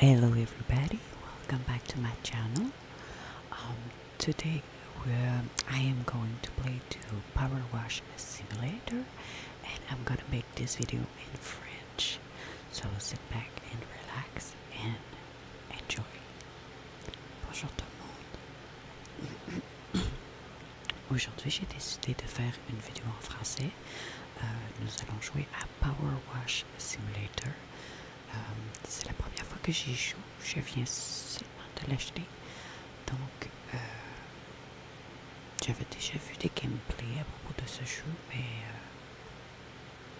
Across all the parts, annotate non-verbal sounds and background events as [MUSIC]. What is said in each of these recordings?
Hello everybody, welcome back to my channel. Um, today I am going to play to Power Wash Simulator and I'm gonna make this video in French. So sit back and relax and enjoy. Bonjour tout le monde. [COUGHS] Aujourd'hui j'ai décidé de faire une vidéo en français. Euh, nous allons jouer à Power Wash Simulator. Euh, c'est la première fois que j'y joue. Je viens seulement de l'acheter. Donc, euh, j'avais déjà vu des gameplays à propos de ce jeu, mais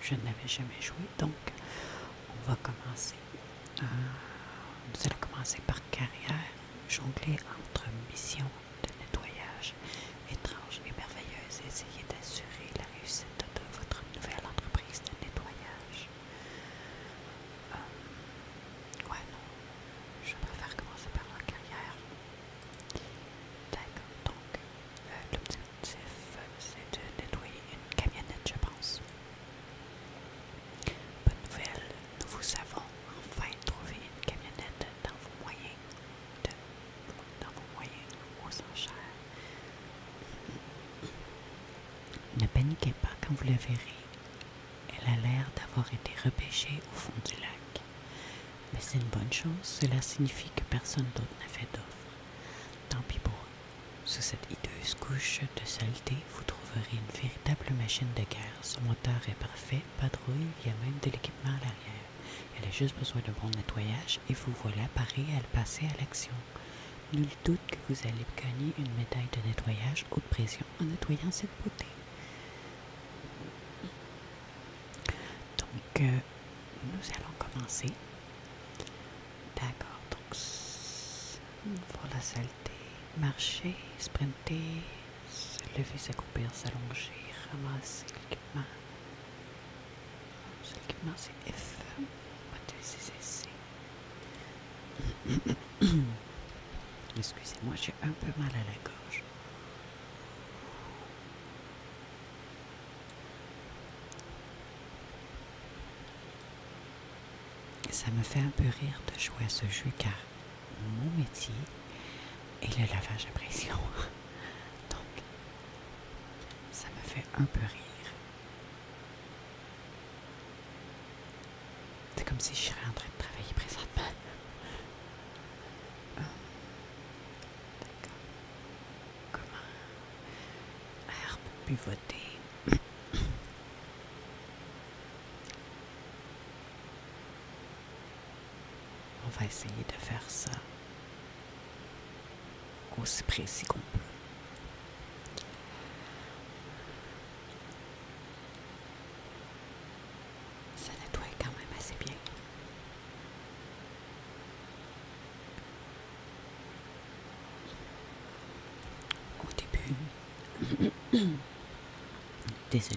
je n'avais jamais joué. Donc, on va commencer. nous allons commencer par carrière, jongler entre missions de nettoyage étrange et merveilleuse. Essayez d'assurer la réussite de votre nouvelle entreprise de nettoyage. Euh, ouais, non. Je préfère commencer par la carrière. D'accord. Donc, euh, l'objectif, c'est de nettoyer une camionnette, je pense. Bonne nouvelle, nous vous avons enfin trouvé une camionnette dans vos moyens dans vos moyens enchères. Ne paniquez pas quand vous la verrez. Elle a l'air d'avoir été repêchée au fond du lac. Mais c'est une bonne chose, cela signifie que personne d'autre n'a fait d'offre. Tant pis pour Sous cette hideuse couche de saleté, vous trouverez une véritable machine de guerre. Son moteur est parfait, pas de il y a même de l'équipement à l'arrière. Elle a juste besoin de bon nettoyage et vous voilà paré à passer à l'action. Nul doute que vous allez gagner une médaille de nettoyage haute pression en nettoyant cette beauté. Donc, euh, nous allons commencer. D'accord, donc, pour la saleté, marcher, sprinter, se lever, couper, s'allonger, ramasser l'équipement. L'équipement, c'est F. [COUGHS] Excusez-moi, j'ai un peu mal à la gorge. Ça me fait un peu rire de jouer à ce jeu car mon métier est le lavage à pression. [LAUGHS] Donc, ça me fait un peu rire. C'est comme si je serais en train de travailler présentement. de euh, D'accord. Comment Herbe pivotée. On va essayer de faire ça aussi précis qu'on peut. Ça nettoie quand même assez bien. Au début, [COUGHS] désolé,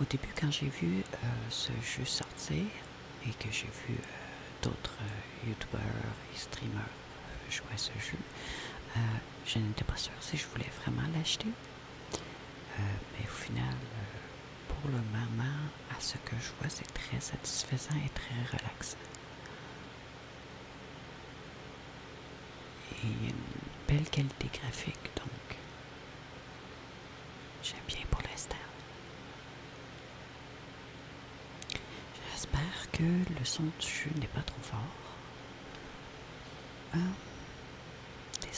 au début quand j'ai vu euh, ce jeu sortir, et que j'ai vu euh, d'autres euh, youtubeurs et streamers euh, jouer à ce jeu, je n'étais pas sûre si je voulais vraiment l'acheter. mais au final, pour le moment, à ce que je vois, c'est très satisfaisant et très relaxant. Et il y a une belle qualité graphique, donc J'aime bien pour l'instant. J'espère que le son du jeu n'est pas trop fort. Des hein?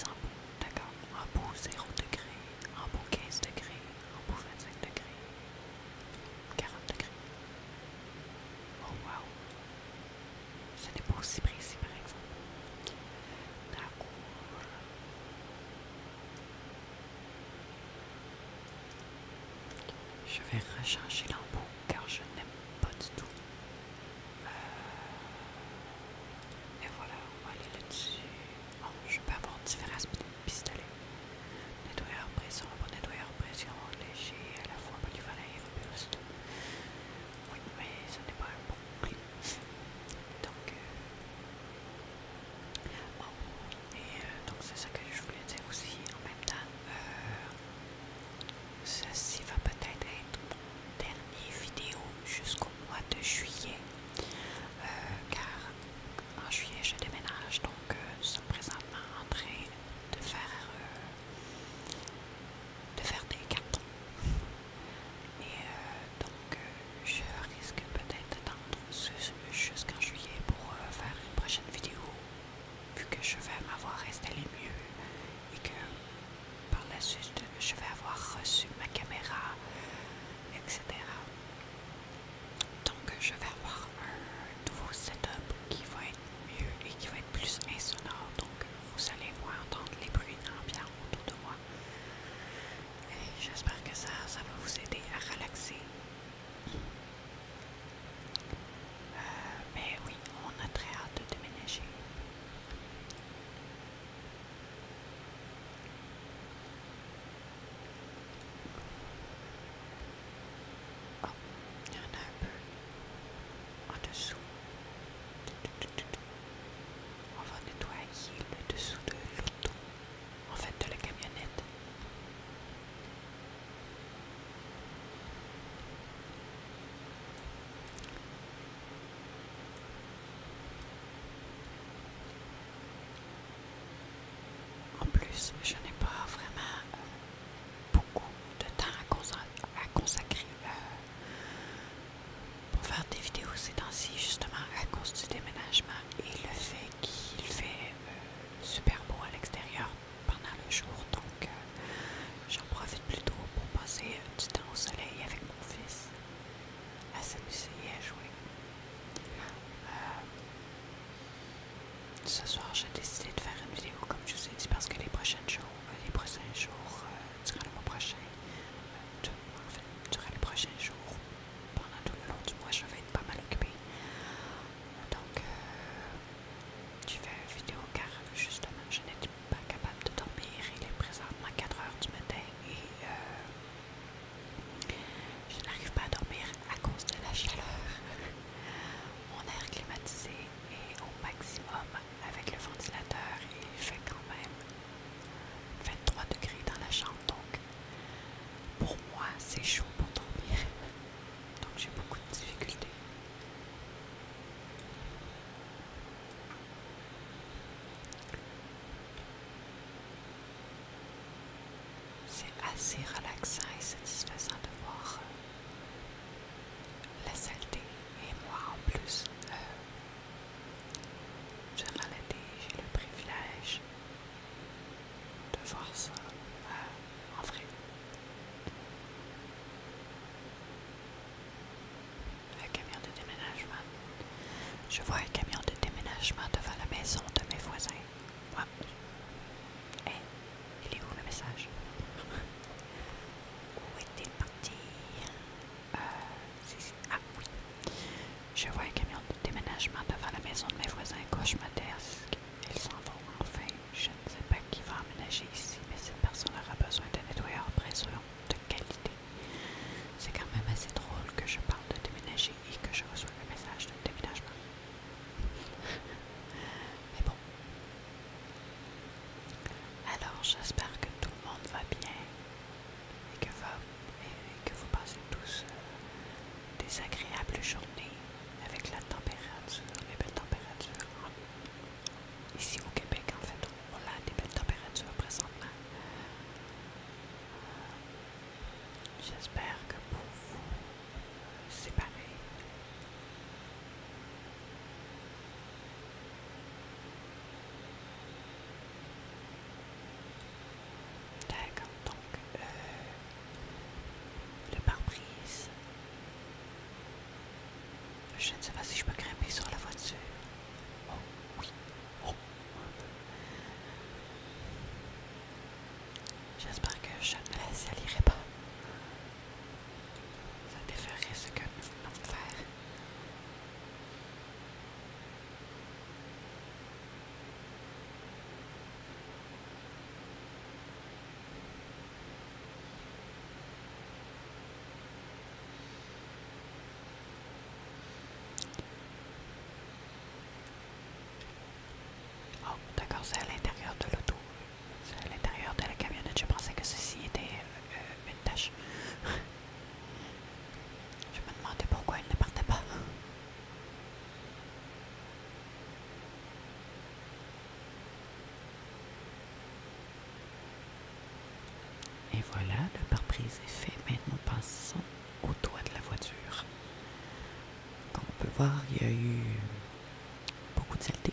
embouts, d'accord. Embout 0 degré, embout 15 degrés, embout 25 degrés, 40 degrés. Oh waouh! Ce n'est pas aussi précis par exemple. D'accord. Je vais recharger l'embout car je n'aime pas du tout. Euh, et voilà, on va aller là-dessus. Bon, oh, je peux avoir différents pistolets. Nettoyeur pression, bon nettoyeur pression, léger, à la fois polyvalent et robuste. Oui, mais ce n'est pas un bon prix. Donc, euh, et euh, donc c'est ça que je voulais dire aussi en même temps. Euh, ceci va peut-être être mon dernier vidéo jusqu'au mois de juillet. Euh, car en juillet je déménage, donc euh, nous sommes présentement en train de faire euh, de faire des cartons. Et euh, donc euh, je risque peut-être d'attendre jusqu'en juillet pour euh, faire une prochaine vidéo vu que je vais m'avoir installé mieux et que par la suite je vais avoir reçu ma caméra etc donc je vais avoir un nouveau setup qui va être mieux et qui va être plus insonore donc vous allez voir, entendre les bruits d'ambiance autour de moi J'espère que ça, ça va vous aider à relaxer. Euh, mais oui, on a très hâte de déménager. Oh, il y en a un peu en dessous. On va nettoyer le dessous de l'auto, en fait de la camionnette. En plus, je n'ai pas vraiment euh, beaucoup de temps à consacrer, euh, pour faire des vidéos c'est ainsi justement à cause du déménagement et le fait qu'il fait euh, super beau à l'extérieur pendant le jour donc euh, j'en profite plutôt pour passer du temps au soleil avec mon fils à s'amuser et à jouer euh, ce soir j'ai décidé de faire une vidéo comme je vous ai dit parce que les prochains jours, les prochains jours durant le mois prochain en fait, durant les prochains jours, pendant tout le long du mois, je vais être pas mal occupée. Donc, euh, tu je fais une vidéo car justement, je n'étais pas capable de dormir. Il est présentement 4 h du matin et euh, je n'arrive pas à dormir à cause de la chaleur. Mon air climatisé est au maximum avec le ventilateur et il fait quand même 23 degrés dans la chambre, donc pour moi, c'est chaud pour dormir. Donc j'ai beaucoup de difficultés. C'est assez relaxant et satisfaisant de voir euh, la saleté. Et moi en plus, euh, j'ai le privilège de voir ça euh, en vrai. Le camion de déménagement. Je vois un camion de déménagement devant la maison de mes voisins. Et eh, il est où le message? [LAUGHS] Où est-il parti? Euh, ah oui. Je vois un camion de déménagement devant la maison de mes voisins cauchemardesques. Ils s'en vont enfin. Je ne sais pas qui va emménager ici, mais cette personne aura besoin d'un nettoyeur pression de qualité. C'est quand même assez drôle que je parle de déménager et que je reçois le message de déménagement. [LAUGHS] mais bon. Alors, j'espère que tout le monde va bien et que, que vous passez tous euh, des agréables journées avec la température, les belles températures. Ici au Québec, en fait, on a des belles températures présentement. Euh, j'espère que pour vous, c'est pareil. D'accord, donc euh, le pare-brise. Je ne sais pas si je peux grimper sur la voiture. Oh, oui. Oh. J'espère que je ne la salirai pas. Ça déferait ce que nous venons de faire. Oh, d'accord, c'est à l'intérieur de l'auto. C'est à l'intérieur de la camionnette. Je pensais que ceci était euh, une tâche. [LAUGHS] Je me demandais pourquoi il ne partait pas. Et voilà, le pare est fait. Maintenant, passons au toit de la voiture. Comme on peut voir, il y a eu beaucoup de saleté.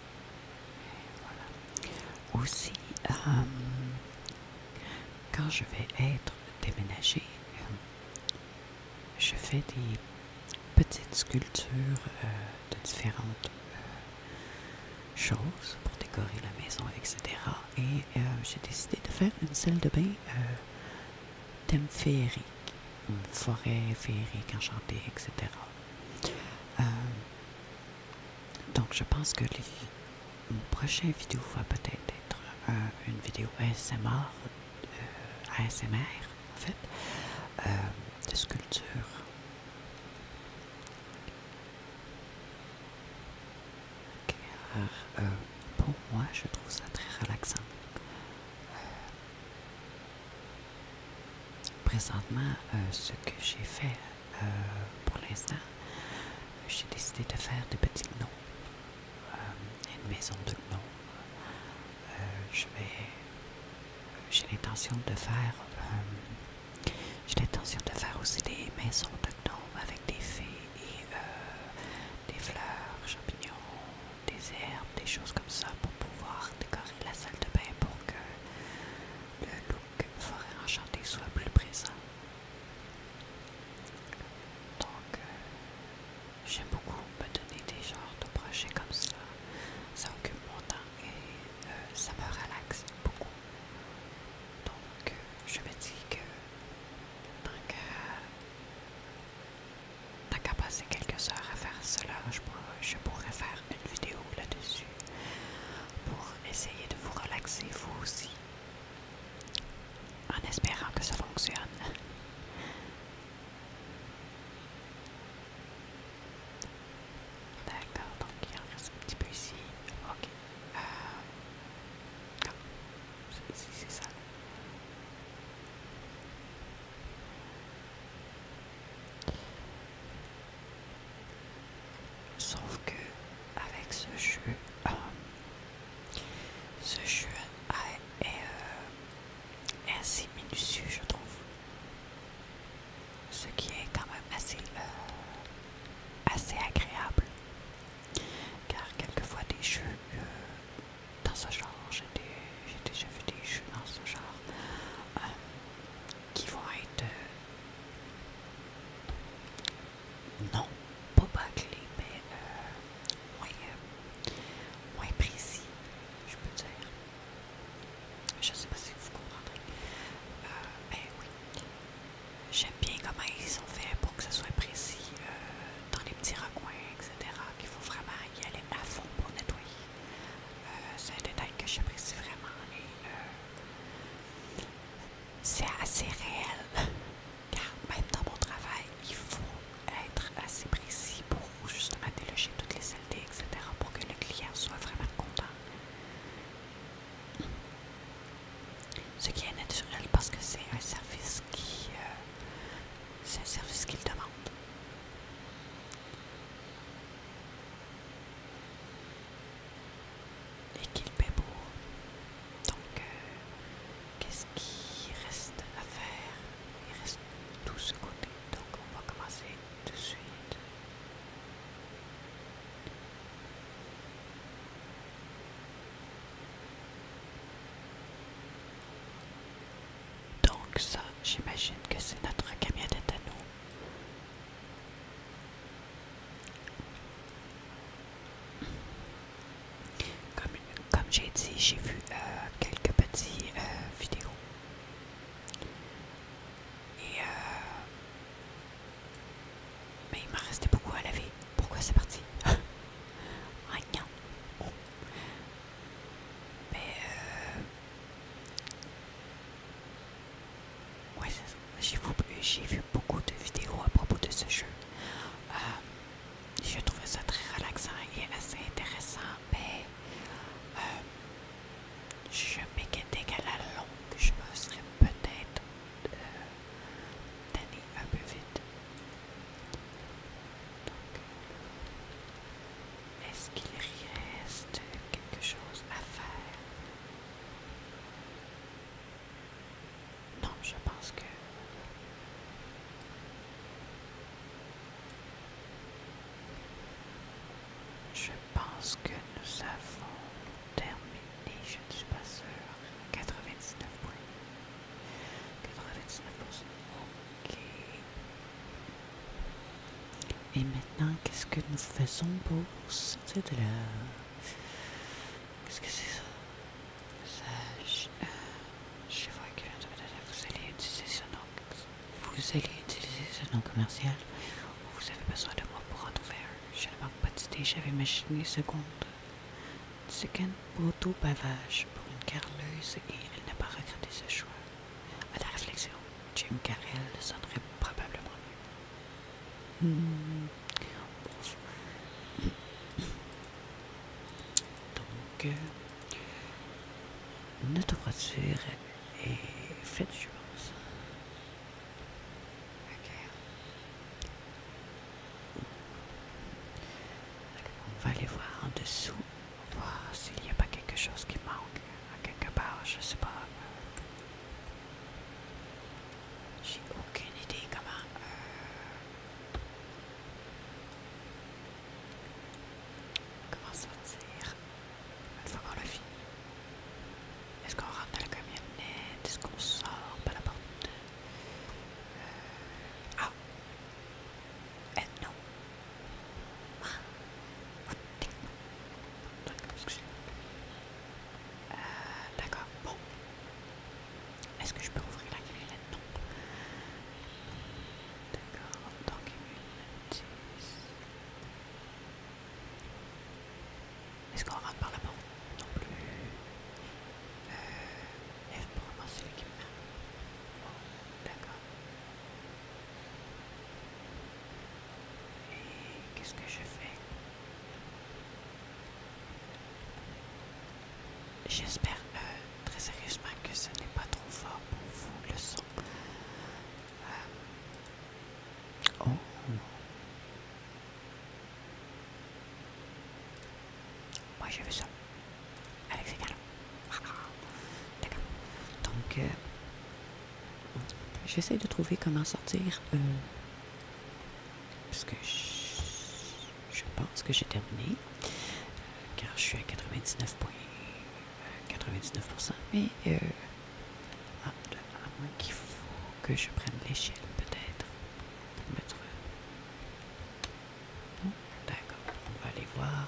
Aussi, euh, quand je vais être déménagée, je fais des petites sculptures euh, de différentes euh, choses pour décorer la maison, etc. Et j'ai décidé de faire une salle de bain thème féerique, forêt féerique enchantée, etc. Donc, je pense que mon prochain vidéo va peut-être être, euh, une vidéo ASMR, euh, ASMR en fait, euh, de sculpture. Car pour moi, je trouve ça très relaxant. Présentement, euh, ce que j'ai fait euh, pour l'instant, j'ai décidé de faire des petits gnomes, euh, une maison de gnomes. je vais, j'ai l'intention de faire, l'intention de faire aussi des maisons de gnomes avec des fées et des fleurs, champignons, des herbes, des choses comme ça pour pouvoir décorer la salle de bain pour que le look forêt enchanté soit plus présent. Donc, euh, j'aime beaucoup me donner des genres de projets comme ça. Ça occupe mon temps et euh, ça me relaxe beaucoup. Donc, euh, je me dis que tant qu'à passer quelques heures à faire cela, je pourrais faire une vidéo là-dessus pour essayer de vous relaxer vous aussi en espérant que ça fonctionne. D'accord, donc il revient un petit peu ici. Ok. Euh, c'est c'est ça. Sauf que avec ce jeu, euh, ce jeu est, euh, assez minutieux, je trouve. Ce qui est quand même assez, euh, agréable. Car quelquefois des jeux dans ce genre, j'ai déjà vu des jeux dans ce genre, qui vont être... Non, pas bâclé, mais euh, euh, moins, précis, je peux dire. Je sais pas si vous comprendrez. mais euh, ben j'aime bien comment ils sont faits pour que ce soit précis dans les petits recoins, etc. Qu'il faut vraiment y aller à fond pour nettoyer. C'est un détail que j'apprécie vraiment c'est assez réel, car même dans mon travail, il faut être assez précis pour justement déloger toutes les saletés, etc., pour que le client soit vraiment content. Ce qui est naturel parce que c'est un service qui euh, c'est un service qu'il demande et qu'il paie pour. Donc, euh, qu'est-ce qui reste à faire Il reste tout ce côté. Donc, on va commencer tout de suite. Donc ça, j'imagine que c'est notre camionnette à nous. Comme, j'ai dit, j'ai vu euh, quelques petites euh, vidéos. Et euh, mais il m'a restait beaucoup à laver. Pourquoi c'est parti? [LAUGHS] Rien. Mais Ouais, J'ai vu beaucoup de vidéos à propos de ce jeu. J'ai euh, je trouvais ça très relaxant et assez intéressant, mais euh, je m'inquiétais qu'à la longue, je me serais peut-être d'aller euh, un peu vite. est-ce qu'il reste quelque chose à faire non, je pense que... Je pense que nous avons terminé, je ne suis pas sûre, 99 99%. Ok. Et maintenant, qu'est-ce que nous faisons pour sortir de Qu'est-ce que c'est ça euh, je, vois que vous allez utiliser ce nom. Vous allez utiliser ce nom commercial. Vous avez besoin de moi pour en trouver Je ne manque pas d'idées. J'avais imaginé seconde. Second pour tout bavage pour une carleuse et elle n'a pas regretté ce choix. À la réflexion, Jim Carrel sonnerait probablement mieux. Donc, euh, notre voiture est faite de choses. On va aller voir en dessous, voir s'il n'y a pas quelque chose qui manque, à quelque part, je sais pas. J'ai aucune idée comment. Euh, comment ça une fois qu'on l'a Est-ce qu'on rentre dans la camionnette? Est-ce qu'on sort par la porte? Euh, ah! Euh, non! Ah! Euh, d'accord, bon. Est-ce que je peux ouvrir la grille là-dedans D'accord, donc une, dix. Est-ce qu'on rentre par là-bas Non plus. Euh, F pour ramasser l'équipement. Bon, d'accord. Et qu'est-ce que je fais J'espère euh, très sérieusement que ce n'est pas trop fort pour vous le son. Euh, oh. Moi je veux ça avec ces D'accord. Donc, euh, J'essaie de trouver comment sortir. Euh, parce que je, pense que j'ai terminé. Euh, car je suis à 99,99%. 99%, euh, mais euh, ah, à, moins qu'il faut que je prenne l'échelle, peut-être. D'accord. On va aller voir.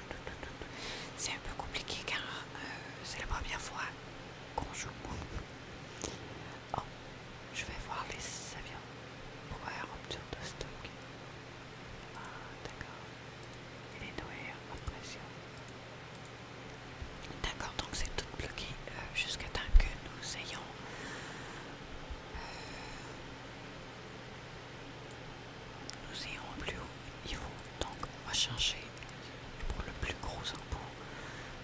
c'est un peu compliqué car euh, c'est la première fois qu'on joue. Oh, je vais voir les avions pour la rupture de stock. Ah, d'accord. Il est noirs, hein, en pression. D'accord, donc c'est tout bloqué euh, jusqu'à temps que nous ayons. Euh, nous irons plus haut, donc on donc changer pour le plus gros impôt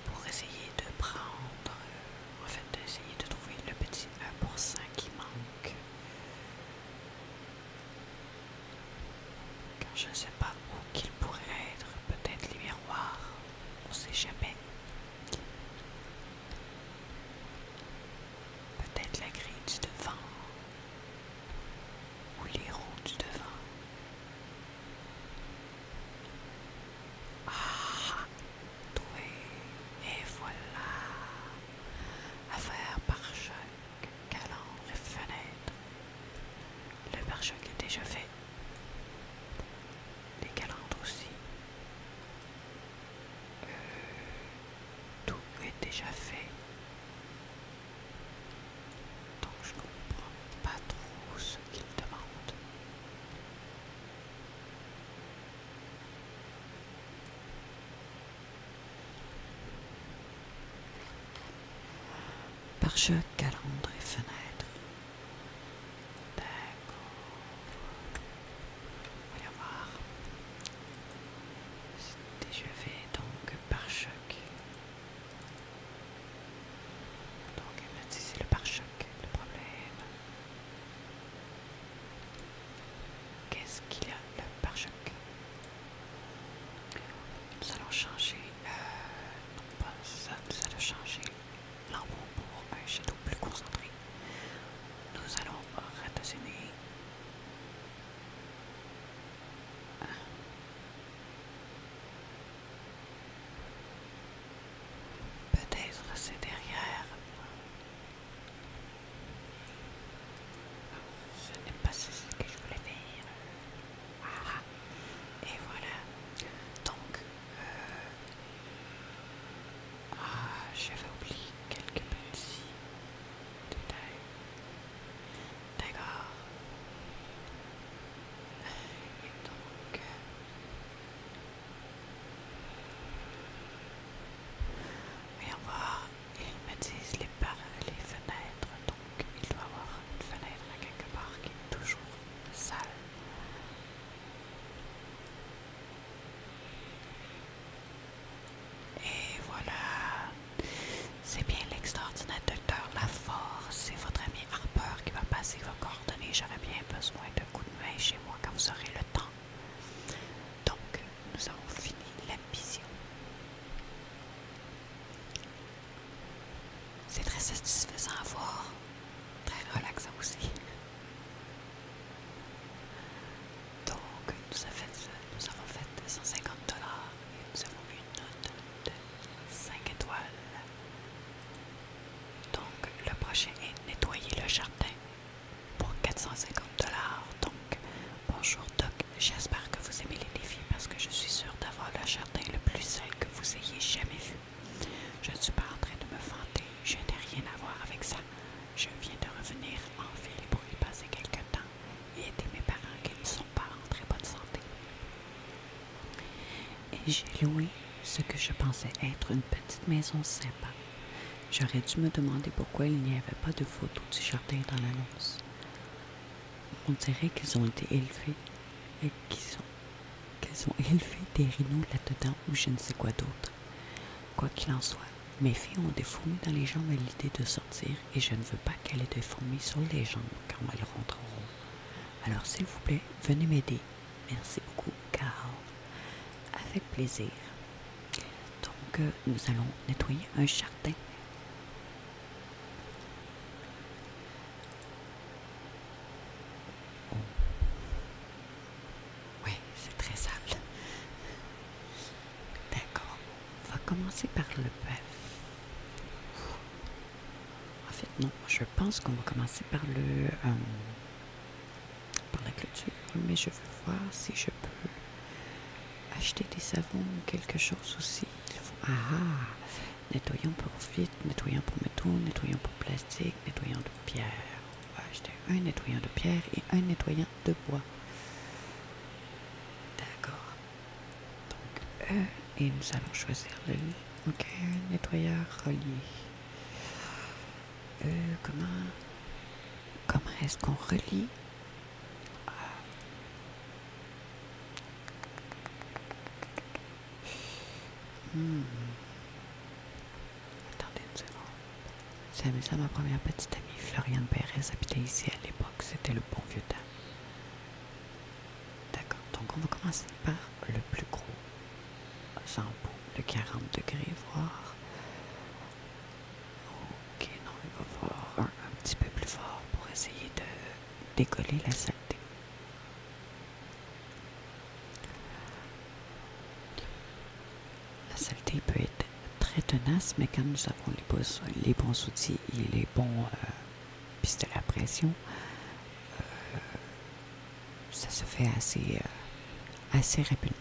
pour essayer de prendre, euh, en fait d'essayer de trouver le petit 1% qui manque. Car je ne sais pas où qu'il pourrait être, peut-être les miroirs, on ne sait jamais. Peut-être la grille du devant, ou les roues du devant. Ah, doué, et voilà, affaire par choc calandre et fenêtre. Le par choc est déjà fait, les calandres aussi tout est déjà fait. Donc je comprends pas trop ce qu'il demande. Parche, calandre et fenêtre. D'accord. On va C'était Je vais donc par choc. Donc si c'est le pare-choc le problème. Qu'est-ce qu'il y a le pare-choc Nous allons changer, non euh, pas ça, nous allons changer l'envoi pour un château plus concentré. Nous allons ratassiner Peut-être c'est derrière. Ce n'est pas ce que je voulais dire, ah. et voilà. Donc, euh, ah, j'avais oublié quelques petits détails. D'accord. Et donc... Et euh, voir. Ils me disent les, les fenêtres, donc il doit y avoir une fenêtre quelque part qui est toujours sale. Et voilà. C'est bien l'extraordinaire l'extraordinateur Force C'est votre ami Harper qui va passer vos coordonnées. J'aurais bien besoin d'un coup de main chez moi quand vous aurez le temps. Donc, nous avons fini la vision. C'est très satisfaisant à voir. Très relaxant aussi. Donc, nous, avons fait 150$ et nous avons eu une note de 5 étoiles. Donc, le prochain est nettoyer le jardin pour 450$. Donc, bonjour Doc, j'espère que vous aimez les défis parce que je suis sûre d'avoir le jardin le plus sale que vous ayez jamais vu. Je ne suis pas en train de me fanter, je n'ai rien à voir avec ça. Je viens de revenir en ville pour y passer quelques temps et mes parents qui ne sont pas en très bonne santé. Et j'ai loué ce que je pensais être une petite maison sympa. J'aurais dû me demander pourquoi il n'y avait pas de photos du jardin dans l'annonce. On dirait qu'ils ont été élevés et qu'ils ont, ont [LAUGHS] élevé des rhinos là-dedans ou je ne sais quoi d'autre. Quoi qu'il en soit, mes filles ont des fourmis dans les jambes à l'idée de sortir et je ne veux pas qu'elles aient des fourmis sur les jambes quand elles rentreront. Alors s'il vous plaît, venez m'aider. Merci beaucoup, Carl. Avec plaisir. Donc, euh, nous allons nettoyer un jardin. Oh. Oui, c'est très sale. D'accord. On va commencer par le bœuf. En fait, non, je pense qu'on va commencer par le euh, par la clôture, mais je veux voir si je peux acheter des savons quelque chose aussi. Ah nettoyant pour vite, nettoyant pour métaux, nettoyant pour plastique, nettoyant de pierre. On va acheter un nettoyant de pierre et un nettoyant de bois. D'accord. Donc, euh, et nous allons choisir le Ok, euh, nettoyeur relié. Euh, comment, comment est-ce qu'on relie ah. hmm. Attendez une seconde. C'est ça ma première petite amie, Floriane Pérez, habitait ici à l'époque, c'était le bon vieux temps. D'accord, donc on va commencer par le plus gros shampoo, le 40 degrés, voire. Ok, non, il va falloir un petit peu plus fort pour essayer de décoller la saleté. La saleté peut être très tenace, mais quand nous avons les, bons, les bons outils et les bons pistes euh, pistolets à pression, euh, ça se fait assez, euh, assez rapidement.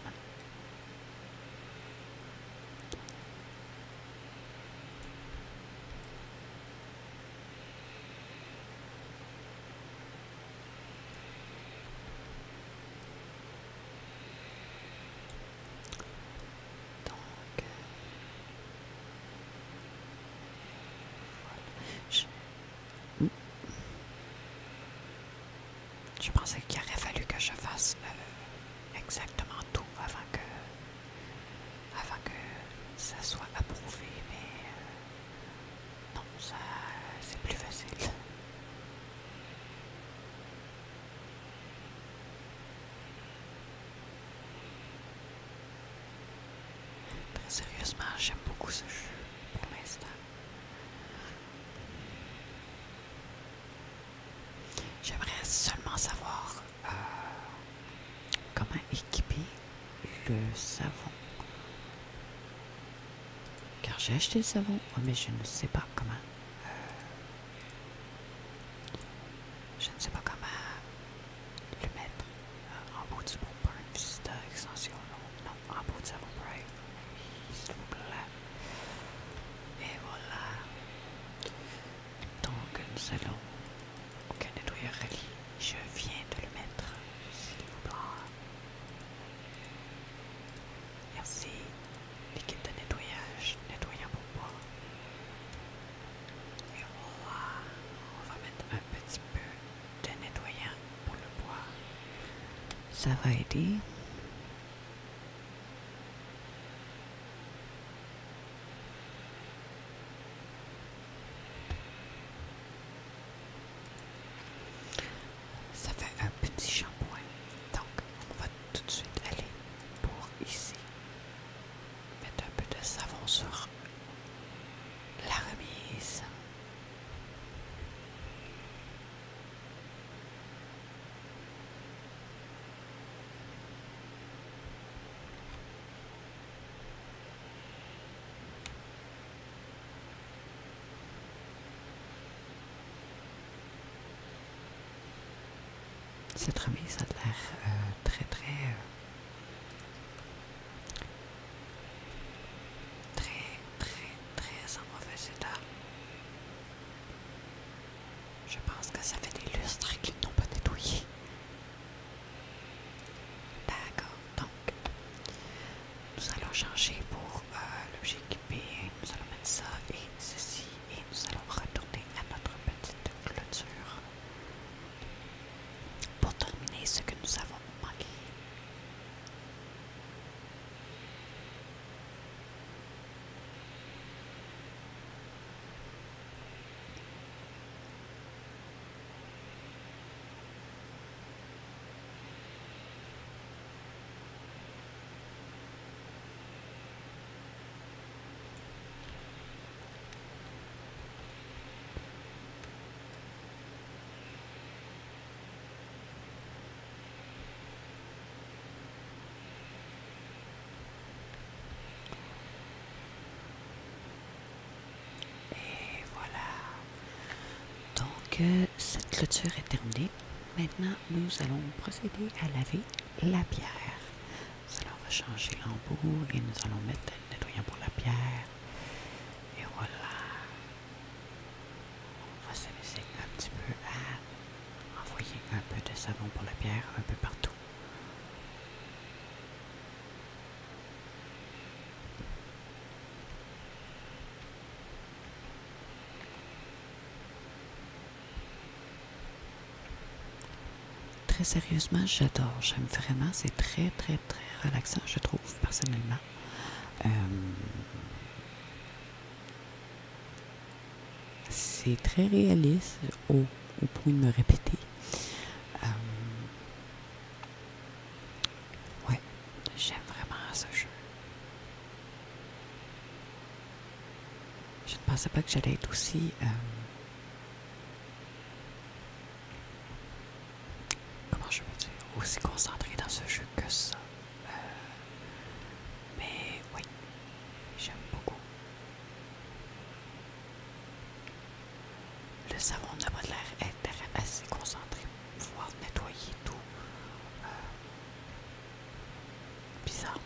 Donc, euh, Je, pensais qu'il aurait fallu que je fasse euh, exactement tout avant que, avant que ça soit approuvé, mais euh, non, ça c'est plus facile. Très sérieusement, j'aime beaucoup ce jeu pour l'instant. J'aimerais seulement savoir euh, comment équiper le savon. Car j'ai acheté le savon, oh, mais je ne sais pas comment euh, je ne sais pas comment le mettre euh, en bout du bon Burn visite extension, non, non, en bout du s'il vous plaît. Et voilà. Donc nous allons au nettoyer Je viens de le mettre, s'il vous plaît. Merci. Liquide de nettoyage, nettoyant pour bois. Et on va, on va mettre un petit peu de nettoyant pour le bois. Ça va aider. Ça fait un petit shampoing. Donc, on va tout de suite aller pour ici mettre un peu de savon sur la remise. Cette remise a l'air euh, très très euh, très très très en mauvais état. Je pense que ça fait des lustres qu'ils n'ont pas nettoyé. D'accord, donc nous allons changer pour euh, l'objet équipé, nous allons mettre ça et ceci et nous allons retourner à notre petite clôture pour terminer ce que nous avons manqué. Et voilà. Donc, euh, cette clôture est terminée. Maintenant, nous allons procéder à laver la pierre. Nous va changer l'embout et nous allons mettre le nettoyant pour la pierre. Et voilà. On va laisser un petit peu à envoyer un peu de savon pour la pierre un peu partout. Très sérieusement, j'adore. J'aime vraiment. C'est très, très, très relaxant, je trouve, personnellement. Euh, c'est très réaliste au, point de me répéter. Euh, ouais, j'aime vraiment ce jeu. Je ne pensais pas que j'allais être aussi. Euh, comment je dire Aussi concentrée dans ce jeu que ça. Euh, mais oui, j'aime beaucoup. Le savon n'a pas l'air est assez concentré pour pouvoir nettoyer tout. Euh, Bizarrement.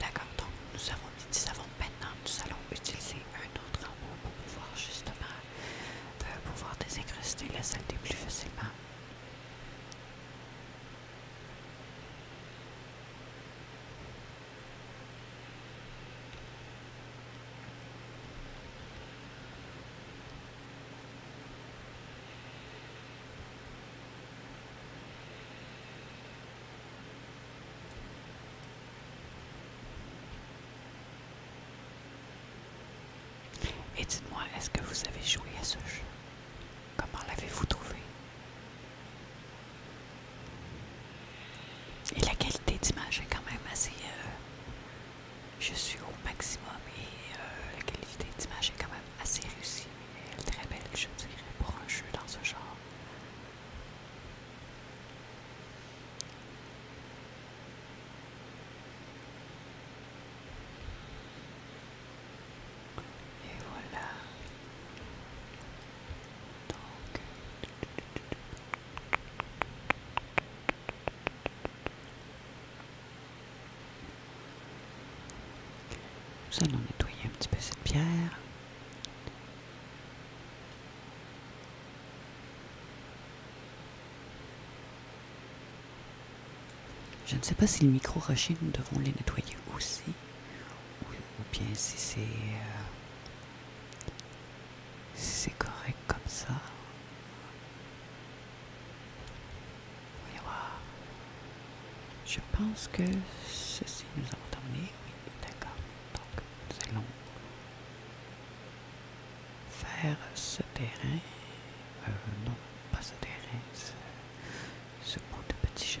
D'accord, donc nous avons dit, nous Maintenant, nous allons utiliser un autre robot pour pouvoir justement euh, pouvoir désincruster la saleté plus facilement. Et dites-moi, est-ce que vous avez joué à ce jeu Comment l'avez-vous trouvé Et la qualité d'image est quand même assez euh, je suis au maximum et euh, la qualité d'image est quand même assez réussie. Elle est très belle, je dirais, pour un jeu dans ce genre. Et voilà. Nous allons nettoyer un petit peu cette pierre. Je ne sais pas si le micro-rocher, nous devons les nettoyer aussi, ou, bien si c'est euh, c'est correct comme ça. voyez voir. Je pense que ceci nous a emmené, Oui, d'accord. Donc, nous allons faire ce terrain. Euh, non, pas ce terrain, ce, ce bout de petit chemin.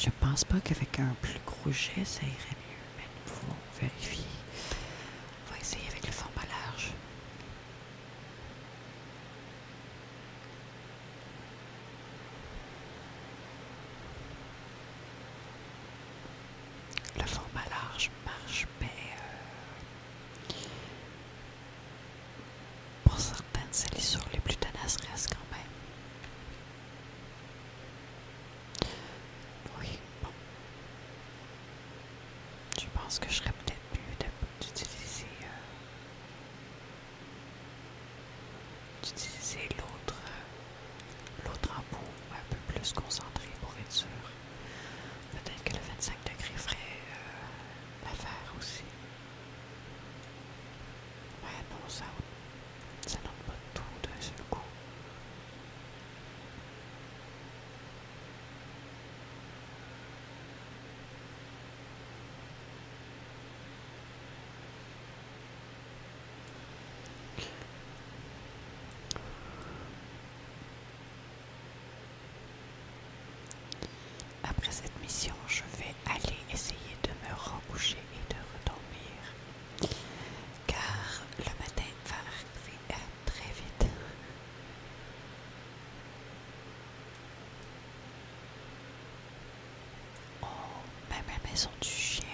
Je pense pas qu'avec un plus gros jet, ça irait mieux, mais nous pouvons vérifier. On va essayer avec le format large. Le format large marche, mais pour certaines, les les plus tenaces quand même. Oui, bon. Je pense que je serais peut-être mieux euh, d'utiliser l'autre euh, l'autre un peu plus concentré pour être sûr. Peut-être que le 25 degrés ferait euh, l'affaire aussi. Ouais, non, ça ça notre pas tout d'un seul coup. Après cette mission, je vais aller essayer de me recoucher et de redormir car le matin va arriver euh, très vite. Oh, même la maison du chien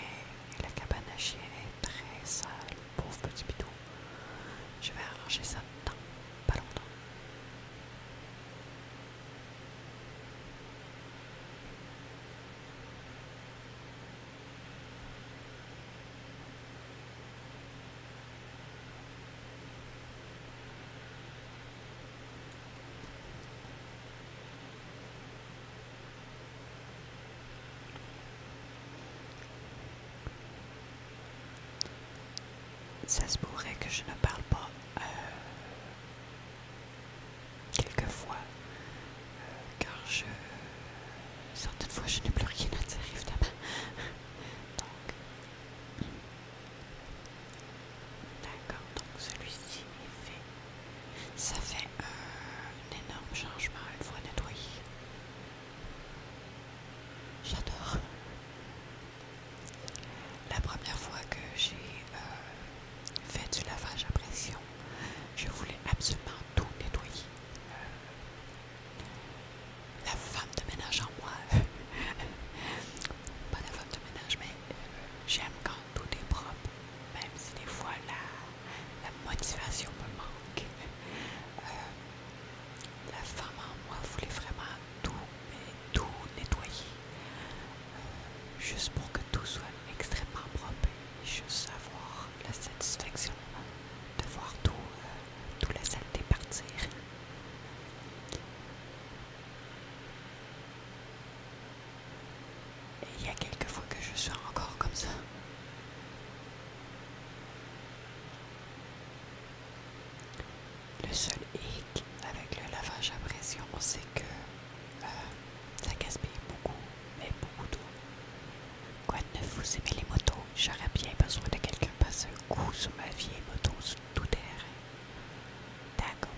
et la cabane à chien est très sale, pauvre petit bidou. Je vais arranger ça dans pas longtemps. Ça se pourrait que je ne parle pas euh, quelques fois euh, car je. certaines fois je n'ai plus rien à dire évidemment. donc. D'accord, donc celui-ci est fait. Ça fait un énorme changement une fois nettoyé. J'adore. La première fois que j'ai euh, fait du lavage à pression. Je voulais absolument tout nettoyer. Euh, la femme de ménage en moi, [LAUGHS] pas la femme de ménage, mais euh, j'aime quand tout est propre, même si des fois la, motivation me manque. Euh, la femme en moi voulait vraiment tout, tout nettoyer. Juste pour que tout soit extrêmement propre et juste avoir la satisfaction de voir tout, euh, la saleté partir. Et il y a quelques fois que je suis encore comme ça. Le seul hic avec le lavage à pression, c'est que euh, ça gaspille beaucoup, mais beaucoup d'eau. Quoi ne vous aimez les motos J'aurais bien besoin de quelqu'un passer un coup sur ma vieille moto sur tout terrain. D'accord.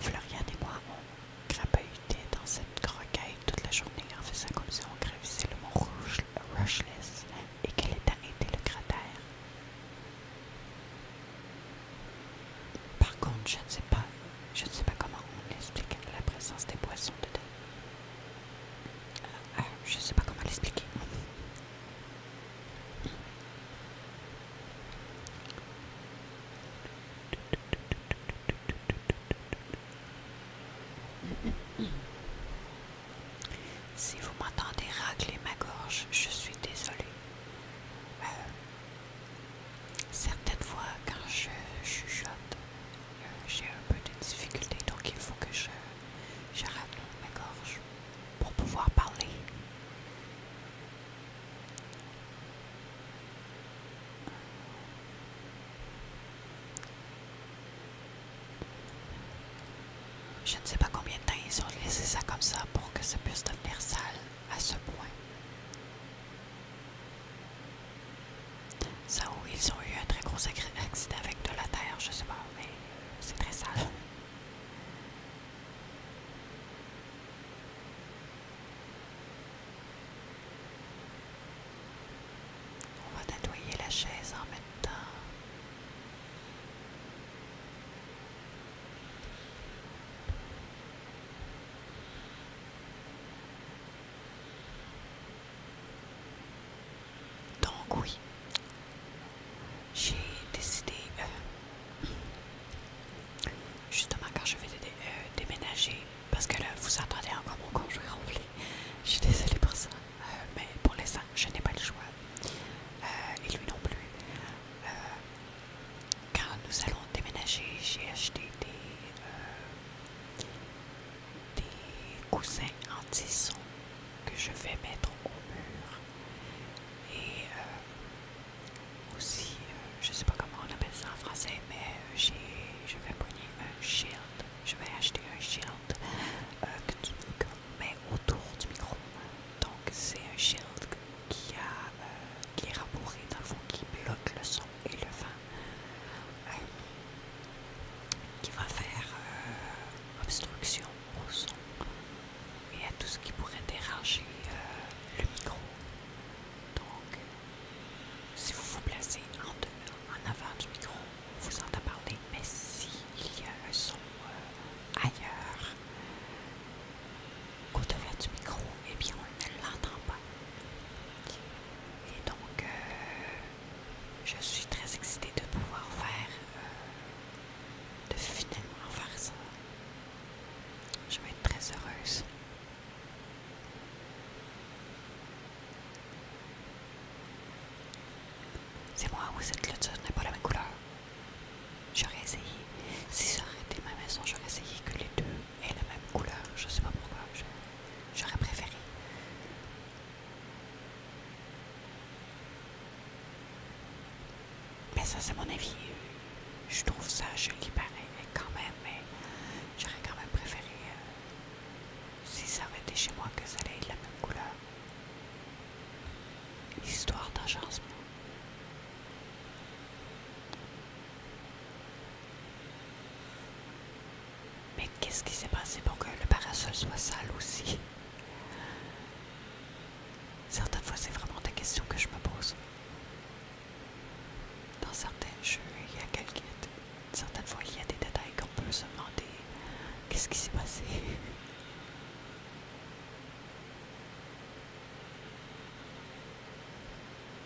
Florian et moi, on crapaudait dans cette croquette toute la journée en faisant comme si on gravissait le mont Rouge, Rushless, et qu'elle ait arrêté le cratère. Par contre, je ne sais pas, je ne sais pas comment on explique la présence des poissons dedans. Euh, euh, je ne sais pas comment l'expliquer. Si vous m'entendez racler ma gorge, je suis désolée. Euh, Certaines fois, quand je chuchote, euh, j'ai un peu de difficulté, donc il faut que je, je ma gorge pour pouvoir parler. Je ne sais pas combien de temps ils ont laissé ça comme ça pour que ça puisse devenir sale à ce point. Ça où ils ont eu un très gros accident avec de la terre, je sais pas, mais c'est très sale. On va nettoyer la chaise en même temps. Donc oui, j'ai décidé, euh, [CLEARS THROAT] justement quand je vais euh, déménager, parce que là, vous attendez encore mon conjoint rempli, je suis désolée pour ça, euh, mais pour l'instant, je n'ai pas le choix, et lui non plus quand nous allons déménager, j'ai acheté des, euh, coussins en tisson que je vais mettre au mur. Et euh, aussi, euh, je ne sais pas comment on appelle ça en français, mais je vais prendre un shield. Je vais acheter un shield que tu mets autour du micro. Donc c'est un shield qui a qui est rabouré dans le fond, qui bloque le son et le vent, euh, qui va faire euh, obstruction au son et à tout ce qui pourrait déranger euh, le micro. Donc, si vous vous placez en, avant du micro, vous entendez parler, mais s'il y a un son ailleurs, Côté vert du micro, et eh bien, on ne l'entend pas. Et donc, euh, je suis très excitée de pouvoir faire, euh, de finalement faire ça. Je vais être très heureuse. C'est moi où cette clôture n'est pas la même couleur. J'aurais essayé, si ça aurait été ma maison, j'aurais essayé que les deux et la même couleur. Je sais pas pourquoi. J'aurais préféré. Mais ça, c'est mon avis. Je trouve ça joli pareil, quand même, mais j'aurais quand même préféré euh, si ça avait été chez moi que ça allait être la même couleur. Histoire d'agencement. Mais qu'est-ce qui s'est passé pour que le parasol soit sale aussi Certaines fois, c'est vraiment des questions que je me pose. Dans certains jeux, il y a quelques... Certaines fois, il y a des détails qu'on peut se demander. Qu'est-ce qui s'est passé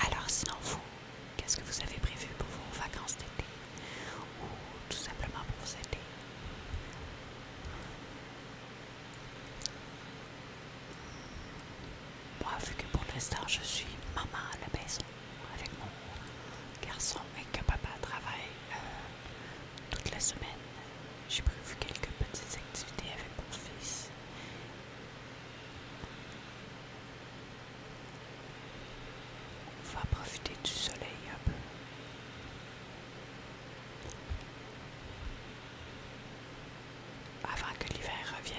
alors sinon vous, qu'est-ce que vous avez prévu pour vos vacances d'été ou tout simplement pour vous aider? Moi, vu que pour l'instant je suis maman à la maison avec mon garçon et que papa travaille, euh, toute la semaine, j'ai prévu quelques petites activités avec mon fils. On va profiter du soleil un peu. Avant que l'hiver revienne.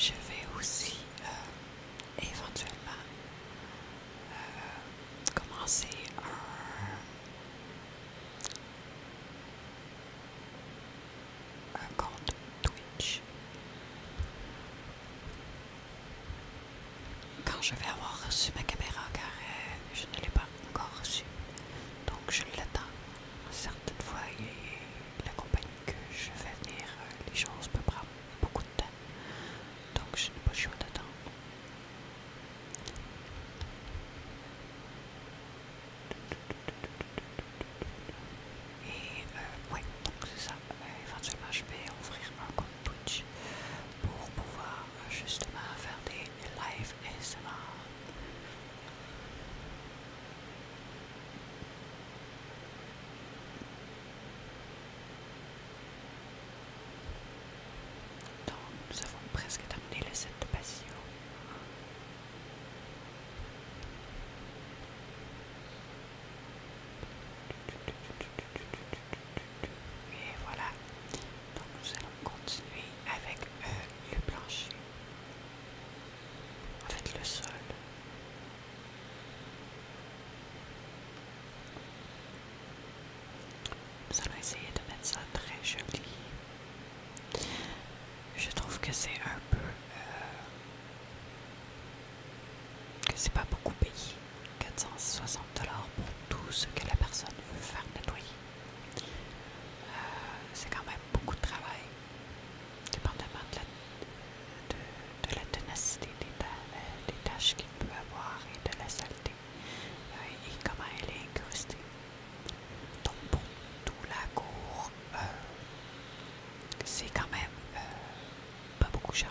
Je vais aussi euh, éventuellement euh, commencer un compte Twitch quand je vais avoir reçu ma caméra, car euh, je ne l'ai pas encore reçue. Donc je l'attends. Certaines fois, il la compagnie que je vais venir, euh, les choses peuvent prendre beaucoup de temps. Donc je n'ai pas le choix d'attendre. Et euh, donc c'est ça. Euh, éventuellement, je vais ouvrir un compte pour pouvoir euh, justement faire des live SMR. nous avons presque terminé le set de passion. Et voilà, donc nous allons continuer avec euh, le plancher, en fait le sol. Nous allons essayer de mettre ça très joli. Je trouve que c'est un peu... Euh, que c'est pas beaucoup payé. 460 dollars pour tout ce que la personne veut faire nettoyer. Euh, c'est quand même beaucoup de travail, dépendamment de la, de, tenacité euh, des, tâches qu'il peut avoir et de la saleté euh, et comment elle est incrustée. Donc pour tout la cour, c'est quand même pas beaucoup cher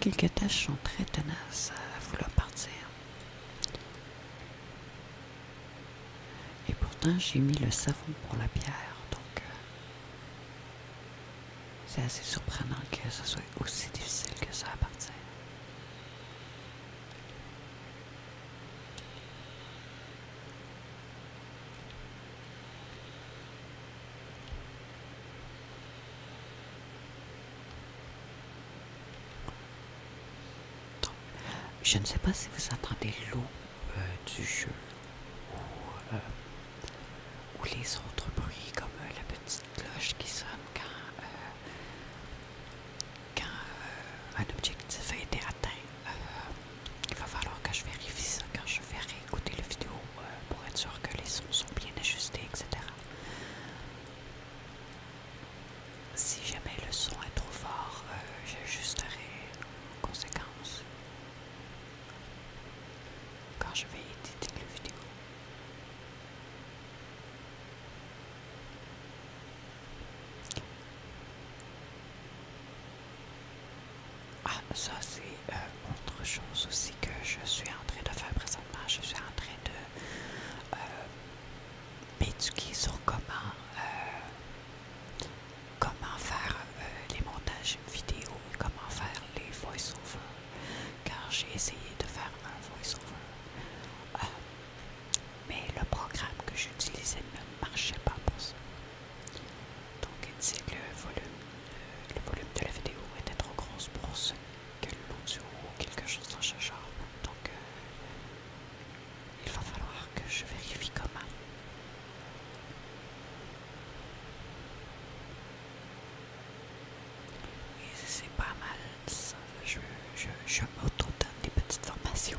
Quelques tâches sont très tenaces à vouloir partir. Et pourtant, j'ai mis le savon pour la pierre, donc euh, c'est assez surprenant que ce soit aussi difficile que ça à partir. Je ne sais pas si vous entendez l'eau euh, du jeu euh, ou, les autres bruits comme euh, la petite cloche qui sonne quand, quand euh, un objectif a été atteint, euh, il va falloir que je vérifie ça quand je vais réécouter la vidéo euh, pour être sûr que les sons sont bien ajustés, etc. Si jamais le son est trop fort, j'ajusterai en conséquence quand je vais éditer la vidéo. Ah, ça c'est euh, autre chose aussi que je suis en train de faire présentement. Je suis en train de euh, m'éduquer sur comment, euh, comment faire les montages vidéo comment faire les voice overs Car j'ai essayé de faire un voice-over. Mais le programme que j'utilisais ne marchait pas pour ça. Donc il le volume, euh, le volume de la vidéo était trop grosse pour ce que l'audio ou quelque chose dans ce genre. Donc euh, il va falloir que je vérifie comment. Et c'est pas mal Je, je, je des petites formations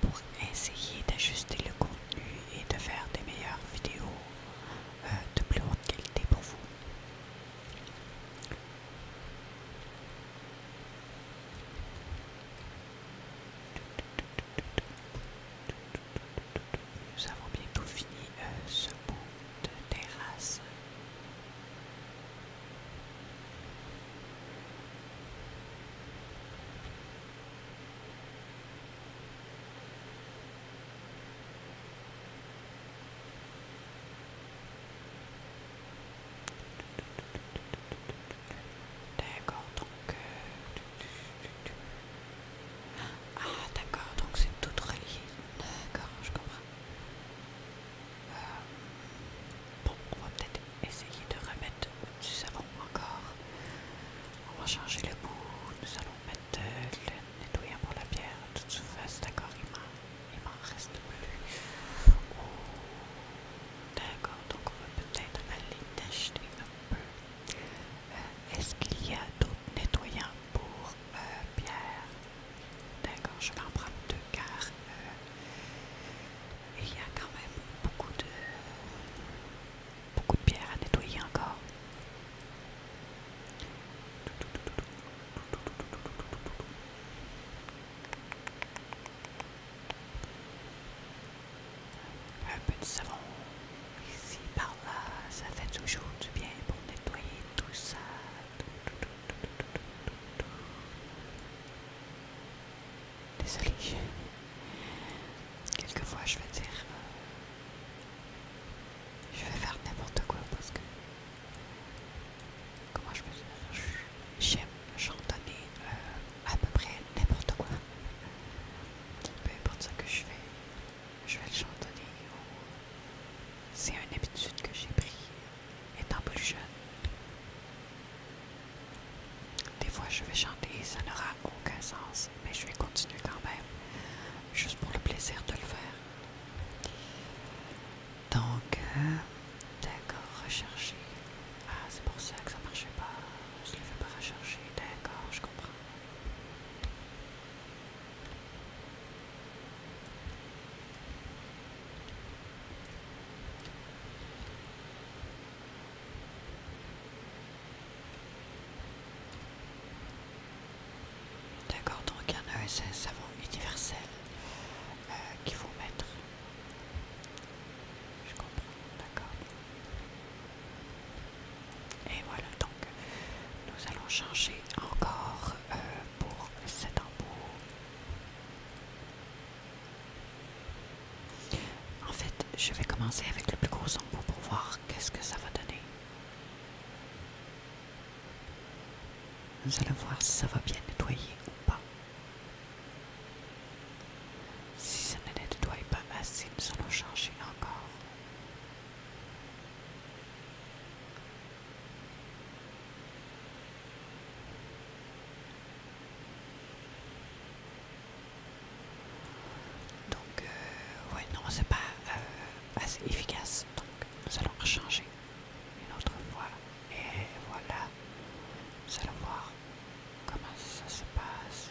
pour essayer d'ajuster le contenu et de faire des meilleures vidéos euh, de plus haute qualité pour vous. Nous avons bientôt fini euh, ce bout de terrasse. D'accord, donc... Euh, ah, d'accord, donc c'est tout relié. D'accord, je comprends. Euh, bon, on va peut-être essayer de remettre du savon encore. On va changer le bout. Nous allons mettre le nettoyant pour la pierre toute toute face, d'accord, il m'en reste plus. Oh, d'accord, donc on va peut-être aller tâcher un peu. Euh, est-ce qu'il y a d'autres nettoyants pour euh, pierre? D'accord, je vais en prendre deux car euh, il y a quand même beaucoup de, beaucoup de pierres à nettoyer encore. Un peu de savon ici par là, ça fait toujours du bien pour nettoyer tout ça. Désolée. Quelquefois, je vais dire. Euh, je vais faire n'importe quoi parce que. Comment je peux dire J'aime chantonner euh, à peu près n'importe quoi. Peu importe ce que je fais, je vais le chantonner. C'est une habitude que j'ai prise étant plus jeune. Des fois, je vais chanter ça n'aura aucun sens, mais je vais continuer quand même, juste pour le plaisir de le faire. Donc, euh, d'accord, rechercher. Ah, c'est pour ça que ça marchait pas. Je ne le fais pas rechercher. D'accord, je comprends. D'accord, donc un ESS universel euh, qu'il faut mettre. Je comprends, d'accord. Et voilà, donc nous allons changer encore euh, pour cet embout. En fait, je vais commencer avec le plus gros embout pour voir qu'est-ce que ça va donner. Nous allons voir si ça va bien nettoyer ou pas. Si ça ne nettoie pas assez, nous allons changer encore. Donc, euh, ouais, non, c'est pas euh, assez efficace. Donc, nous allons rechanger une autre fois. Et voilà, nous allons voir comment ça se passe.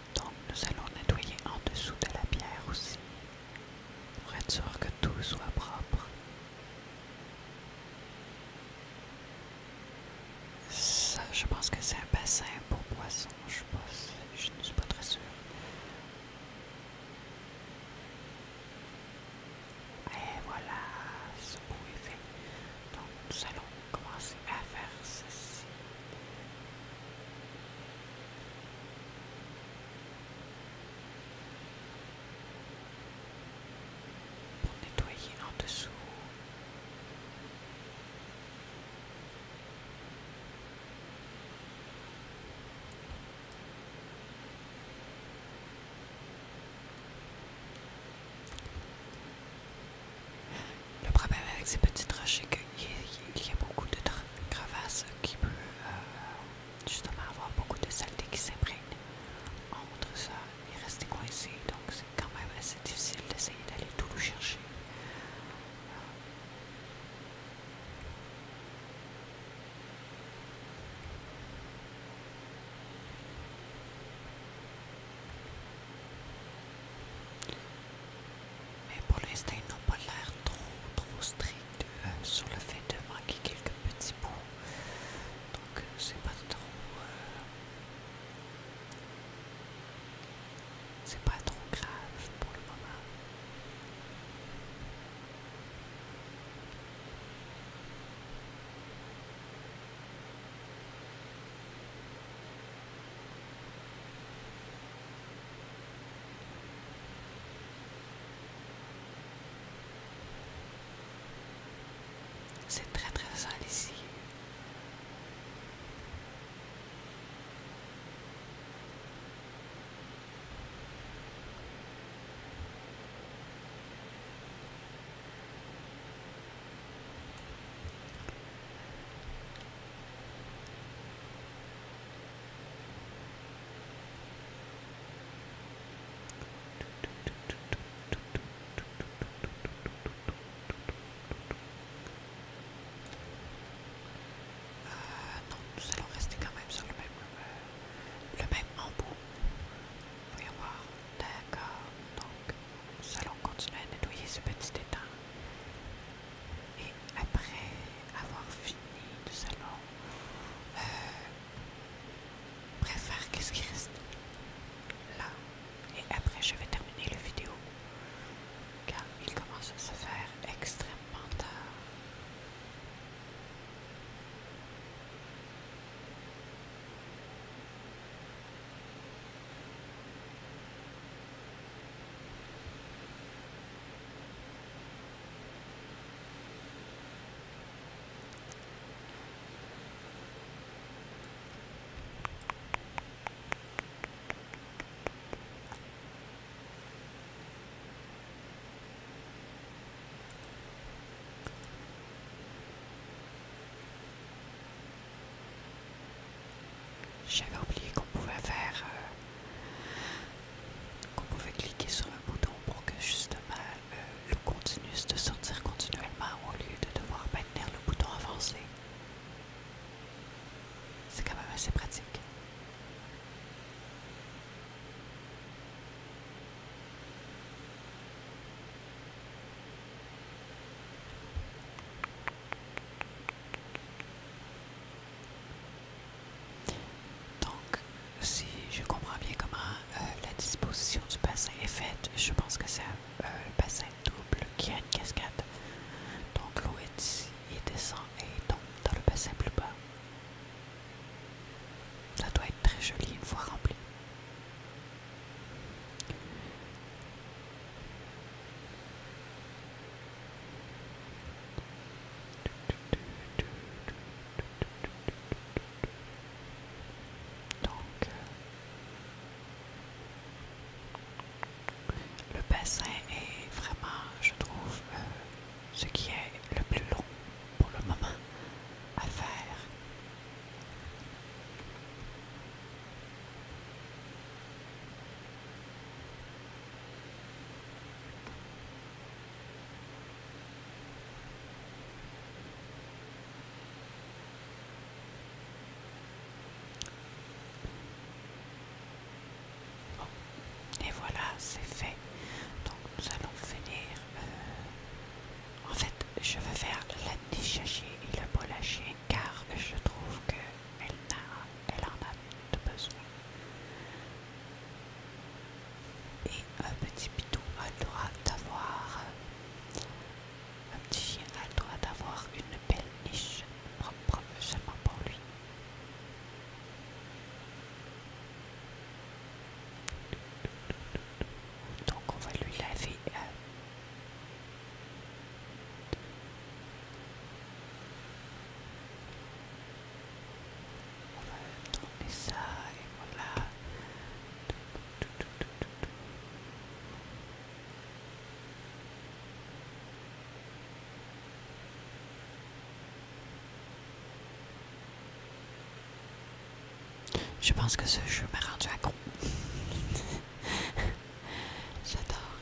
Donc nous allons nettoyer en dessous de la pierre aussi, pour être sûr que tout soit propre. Ça, je pense que c'est un bassin pour poisson, je, je ne suis pas très sûre. Et voilà, ce beau fait. Donc nous allons commencer à faire ceci pour nettoyer en dessous. Le problème avec ces petites rochers que il y a beaucoup de crevasses qui peuvent euh, justement avoir beaucoup de saleté qui s'imprègne entre ça et rester coincé. Donc c'est quand même assez difficile d'essayer d'aller tout chercher. Mais pour l'instant, ils n'ont pas l'air trop, trop strict euh, sur le fait de manquer quelques petits bouts. Donc, euh, c'est pas trop. Euh, c'est pas trop grave pour le moment. C'est très très sale ici. Euh, non, nous allons rester quand même sur le même, euh, le même embout. Voyons voir. D'accord. Donc, nous allons continuer à nettoyer ce petit étang. Et après avoir fini le salon, je euh, préfère qu'est-ce qui reste là. Et après, je vais terminer la vidéo car il commence à se faire extrêmement tard. J'avais oublié qu'on pouvait faire euh, on pouvait cliquer sur un bouton pour que justement l'eau le continue de sortir continuellement au lieu de devoir maintenir le bouton avancé. C'est quand même assez pratique. Donc, si je comprends bien comment euh, la disposition du bassin est faite, je pense que c'est un euh, bassin double qui a une cascade. Donc, l'eau est ici descend et tombe dans le bassin plus bas. Ça doit être très joli une fois rempli. Donc, euh, le bassin est vraiment, je trouve, euh, ce qui est le plus long pour le moment à faire. Et voilà, c'est fait. Donc nous allons finir. Euh, en fait, je vais faire la décharger et le lâcher car je trouve que elle, elle en a de besoin. Et un petit pitou a le droit d'avoir. Un petit chien a le droit d'avoir une belle niche propre seulement pour lui. Donc on va lui laver euh, je pense que ce jeu m'a rendu con, [LAUGHS] J'adore.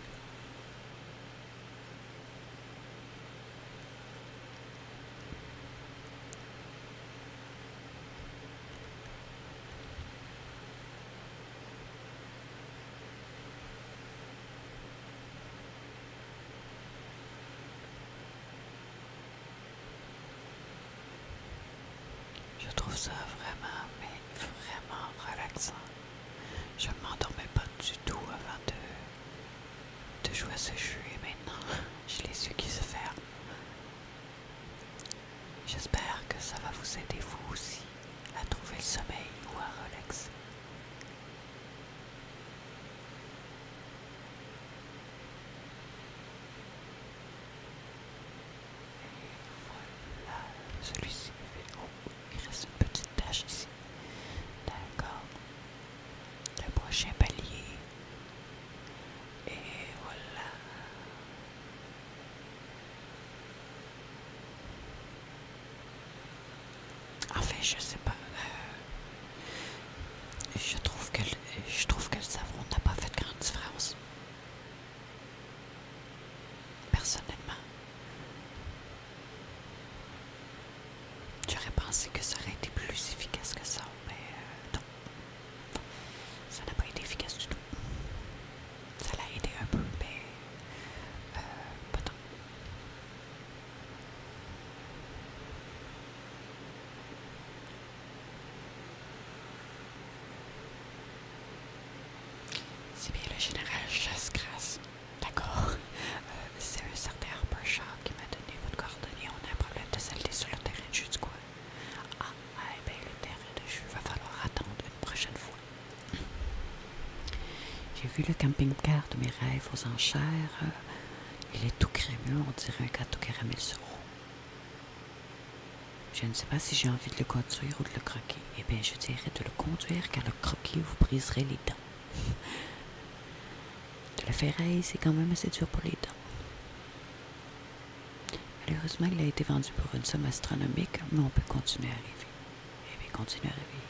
Je trouve ça vraiment, mais vraiment relaxant. Je ne m'endormais pas du tout avant de de jouer à ce jeu maintenant j'ai les yeux qui se ferment. J'espère que ça va vous aider vous aussi à trouver le sommeil ou à relaxer. voilà, celui-ci fait. Oh. Il reste une petite tache ici. D'accord. Le prochain palier. Et voilà. Enfin, je sais pas. Euh, je trouve qu'elle, je trouve que le savon n'a pas fait de grande différence. Personnellement. J'aurais pensé que ça aurait été plus efficace que ça, mais euh, non. Ça n'a pas été efficace du tout. Ça l'a aidé un peu, mais euh, pas tant. C'est bien le général chasse D'accord. Euh, c'est un certain Harper qui m'a donné votre coordonnée. On a un problème de saleté sur le terrain de jus quoi? Ah, ouais, eh ben le terrain de jus va falloir attendre une prochaine fois. J'ai vu le camping-car de mes rêves aux enchères. Euh, il est tout crémeux, on dirait un gâteau caramel sur Je ne sais pas si j'ai envie de le conduire ou de le croquer. Eh bien, je dirais de le conduire car le croquer vous briserait les dents la ferraille, c'est quand même assez dur pour les dents. Malheureusement, il a été vendu pour une somme astronomique, mais on peut continuer à rêver. Et eh bien, continuer à rêver.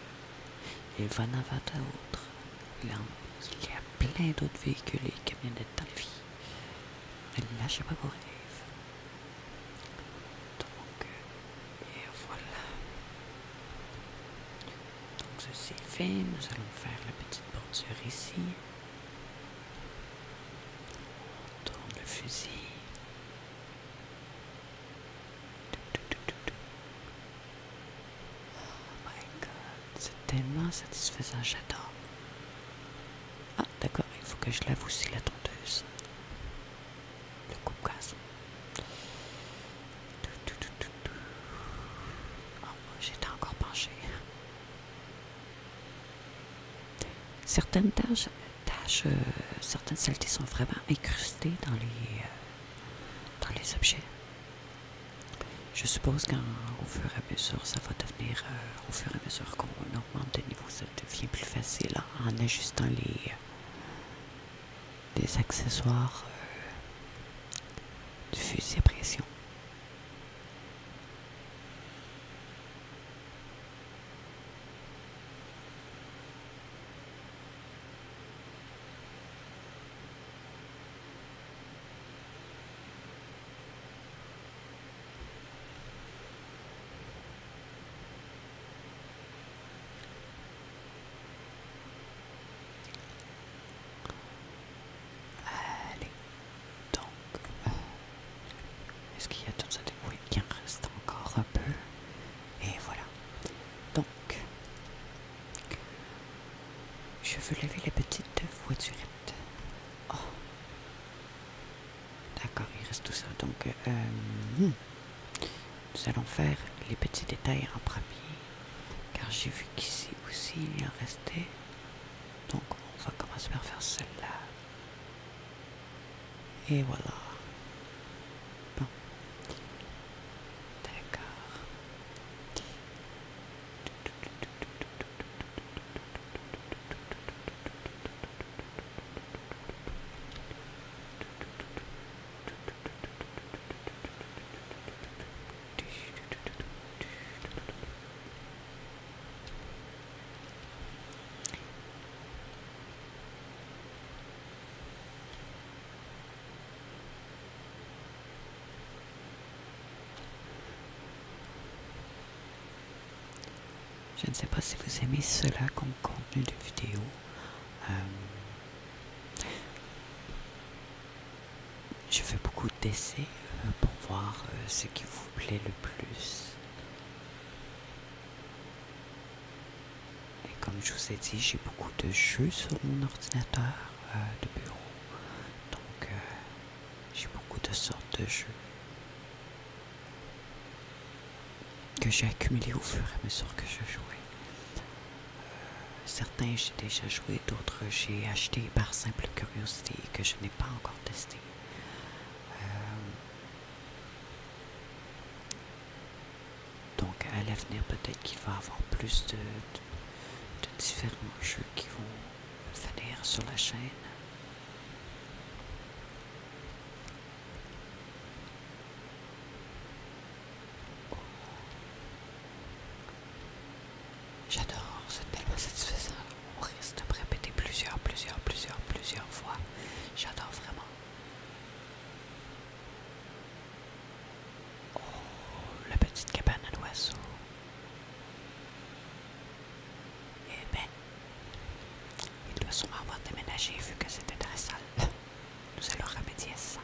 Il va en à autre. Il, y a plein d'autres véhicules et camionnettes dans la vie. Ne lâchez pas vos rêves. Donc, euh, et voilà. Donc ceci est fait, nous allons faire la petite bordure ici. On tourne le fusil. Oh my god, c'est tellement satisfaisant, j'adore. Ah d'accord, il faut que je lave aussi la tondeuse. Le coupe Oh, j'étais encore penchée. Certaines tâches, euh, certaines saletés sont vraiment incrustées dans les, euh, dans les objets. Je suppose qu'au fur et à mesure, ça va devenir, euh, au fur et à mesure qu'on augmente de niveau, ça devient plus facile en ajustant les, des accessoires euh, de pression. Allez, donc, euh, est-ce qu'il y a tout ça de... Oui, il en reste encore un peu. Et voilà. Donc, je veux lever les petites voiturettes. Oh. D'accord, il reste tout ça. Donc, euh, hmm. Nous allons faire les petits détails en premier, car j'ai vu qu'ici aussi il y en restait. Donc on va commencer par faire celle-là. Et voilà. Bon. D'accord. Je ne sais pas si vous aimez cela comme contenu de vidéo. Euh, je fais beaucoup d'essais euh, pour voir euh, ce qui vous plaît le plus. Et comme je vous ai dit, j'ai beaucoup de jeux sur mon ordinateur de bureau. Donc, j'ai beaucoup de sortes de jeux que j'ai accumulés au fur et à mesure que je jouais. Certains j'ai déjà joué, d'autres j'ai acheté par simple curiosité et que je n'ai pas encore testé. Euh, donc à l'avenir peut-être qu'il va y avoir plus de, de différents jeux qui vont venir sur la chaîne. J'adore, c'est tellement satisfaisant. On risque de me répéter plusieurs, plusieurs, plusieurs, plusieurs fois. J'adore vraiment. Oh, la petite cabane à l'oiseau. Eh ben, il doit sûrement avoir déménagé vu que c'était très sale. [LAUGHS] Nous allons remédier à ça.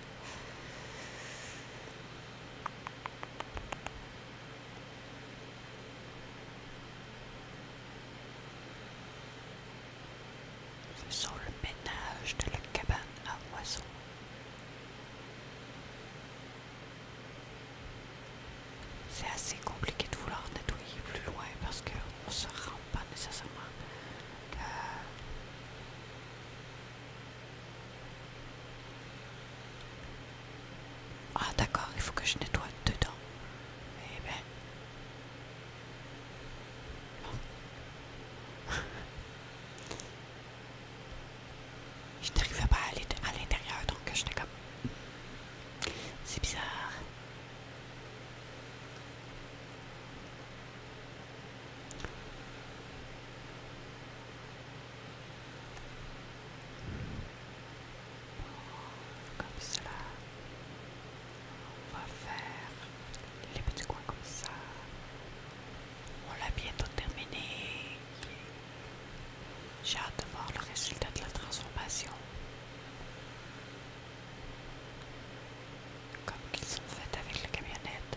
Faisons le ménage de la cabane à oiseaux. C'est assez compliqué de vouloir nettoyer plus loin parce qu'on ne se rend pas nécessairement euh, ah d'accord, il faut que je nettoie dedans. Eh ben. [LAUGHS] je n'arrivais pas à aller à l'intérieur, donc je j'étais comme. C'est bizarre. Comme cela. On va faire les petits coins comme ça. On l'a bientôt terminé. J'ai hâte de voir le résultat de la transformation. Comme qu'ils sont faits avec la camionnette.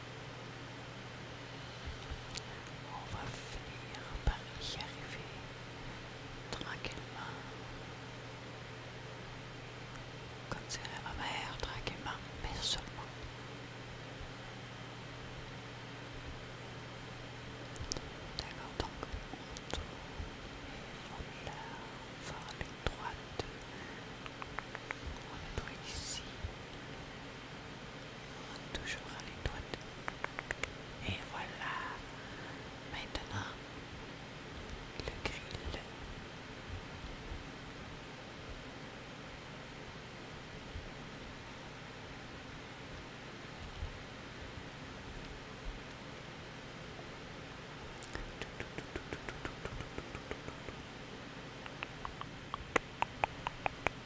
On va finir par y arriver tranquillement. Comme c'est la mère, tranquillement, mais seulement. D'accord, donc on tourne vers vers les droites. On est pas ici toujours à l'étoile. Et voilà. Maintenant, le grill.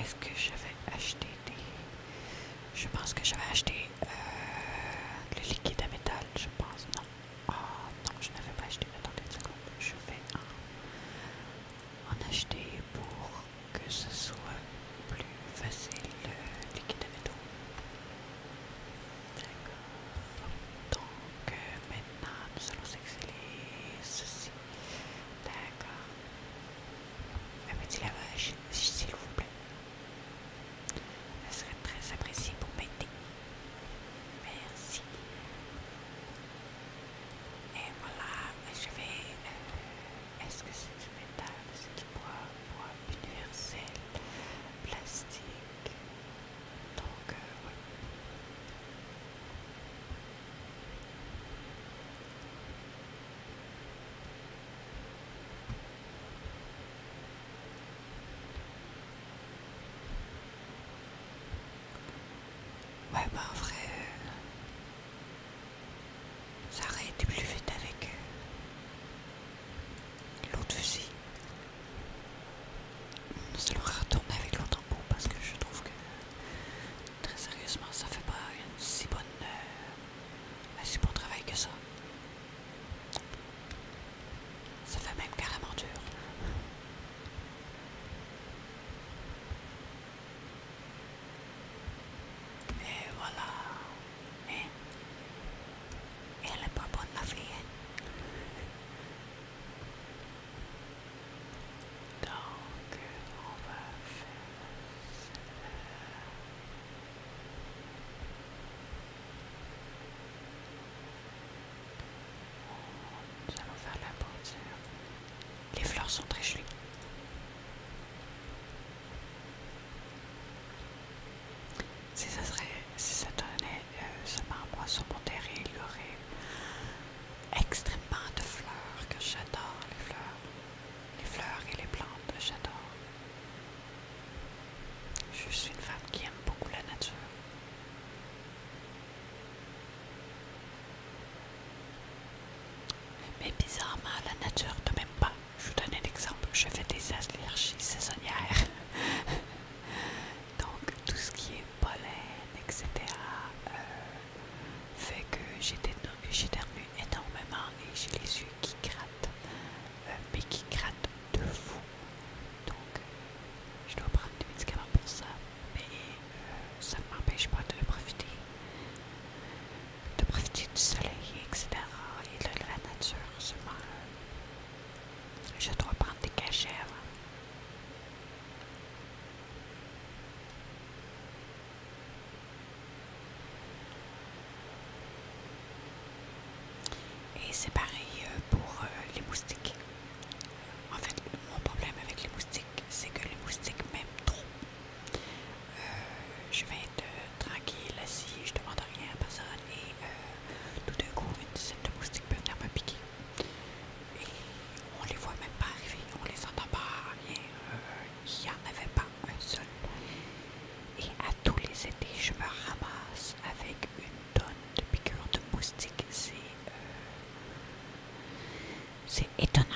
Est-ce que j'avais acheté des. Je pense que j'avais acheté euh, le liquide à métal, je pense. Non. Ah non, je n'avais pas acheté. Attendez une seconde. Je vais en, acheter pour que ce soit plus facile le liquide à métal. D'accord. Donc euh, maintenant, nous allons sceller ceci. D'accord. Un petit lavage, s'il vous plaît. Ça serait très apprécié pour m'aider. Merci. Et voilà, je vais... Euh, est-ce que c'est du métal? C'est du bois, bois universel, plastique. Donc, voilà. Euh, Ouais, bah en vrai, euh, ça aurait été plus vite avec euh, l'autre fusil. Ça l'aurait retourné avec l'autre embout parce que je trouve que Très sérieusement, ça fait pas une si bonne, euh, si bon travail que ça. Ça fait même carrément dur. Et voilà. Et Elle est pas bonne la fille. Hein. Donc, on va faire... Nous allons faire la bordure. Les fleurs sont très jolies. Si ça serait, si ça donnait euh, ce marbre à il y aurait extrêmement de fleurs que j'adore les fleurs les fleurs et les plantes, j'adore. Je suis une femme qui aime beaucoup la nature. Mais bizarrement, la nature ne m'aime pas. Je vous donne un exemple. Je fais des allergies saisonnières. [LAUGHS] Donc, tout ce qui est pollen, etc., fait que j'éternue énormément et j'ai les yeux qui grattent, euh, mais qui grattent de fou. Donc, je dois prendre des médicaments pour ça, mais euh, ça ne m'empêche pas de profiter, de profiter du soleil, etc. et de la nature. Seulement, euh, je dois prendre des cachets et c'est pareil euh, pour euh, les moustiques. En fait, mon problème avec les moustiques, c'est que les moustiques m'aiment trop. Euh, je vais être tranquille assis, je demande rien à personne et tout d'un coup, une dizaine de moustiques peuvent venir me piquer. Et on les voit même pas arriver, on les entend pas, rien il n'y en avait pas un seul. Et à tous les étés, je me ramasse avec une tonne de piqûres de moustiques. C'est euh, étonnant.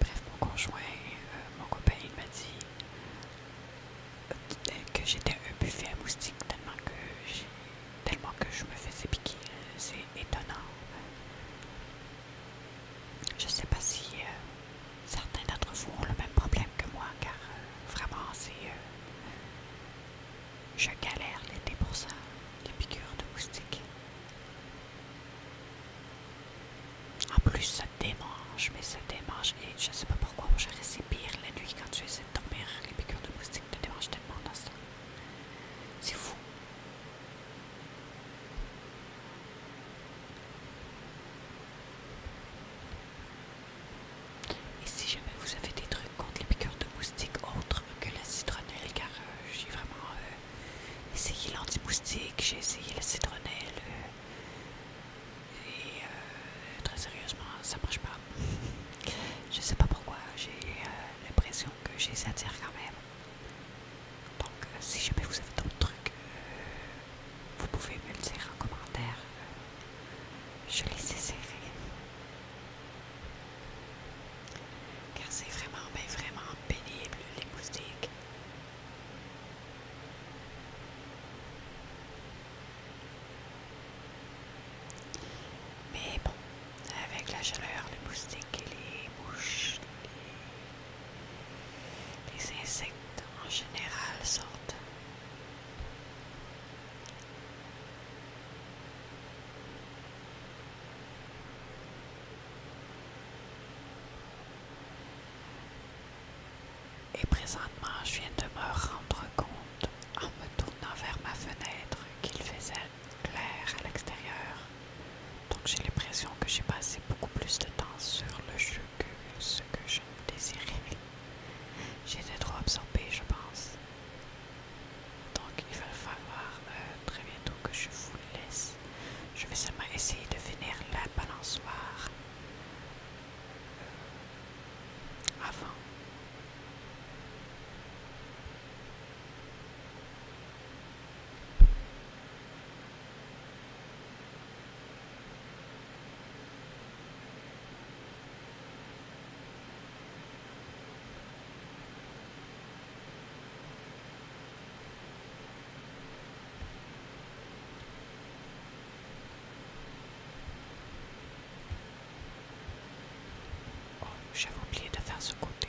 Bref, mon conjoint, euh, mon copain, il m'a dit euh, que j'étais un buffet à moustiques tellement que j'ai tellement que je me fais piquer, c'est étonnant. Je sais pas si euh, certains d'entre vous ont le même problème que moi, car euh, vraiment, c'est. Euh, je galère l'été pour ça, les piqûres de moustiques. En plus, ça démange, mais ça démange, et je sais pas pourquoi, je pire la nuit quand tu essaies de dormir. Les piqûres de moustiques te démangent tellement dans ça. C'est fou. Et si jamais vous avez des trucs contre les piqueurs de moustiques autres que la citronnelle, car euh, j'ai vraiment euh, essayé l'anti-moustique, j'ai essayé la citronnelle, euh, et très sérieusement, ça marche pas. [LAUGHS] Je sais pas pourquoi, j'ai l'impression que j'ai ça dire quand même. Donc euh, si jamais vous avez d'autres trucs, euh, vous pouvez me le dire en commentaire. Euh, je les essaierai. Car c'est vraiment, ben, vraiment pénible les moustiques. Mais bon, avec la chaleur, les moustiques et les mouches, les insectes en général sortent. Et présentement, je viens de me rendre compte en me tournant vers ma fenêtre qu'il faisait clair à l'extérieur. Donc j'ai l'impression que j'ai passé beaucoup plus de temps sur le jeu que ce que je désirais. J'étais trop absorbée, je pense. Donc il va falloir euh, très bientôt que je vous laisse. Je vais seulement essayer de finir la balançoire euh, avant Oh, j'avais oublié de faire ce côté.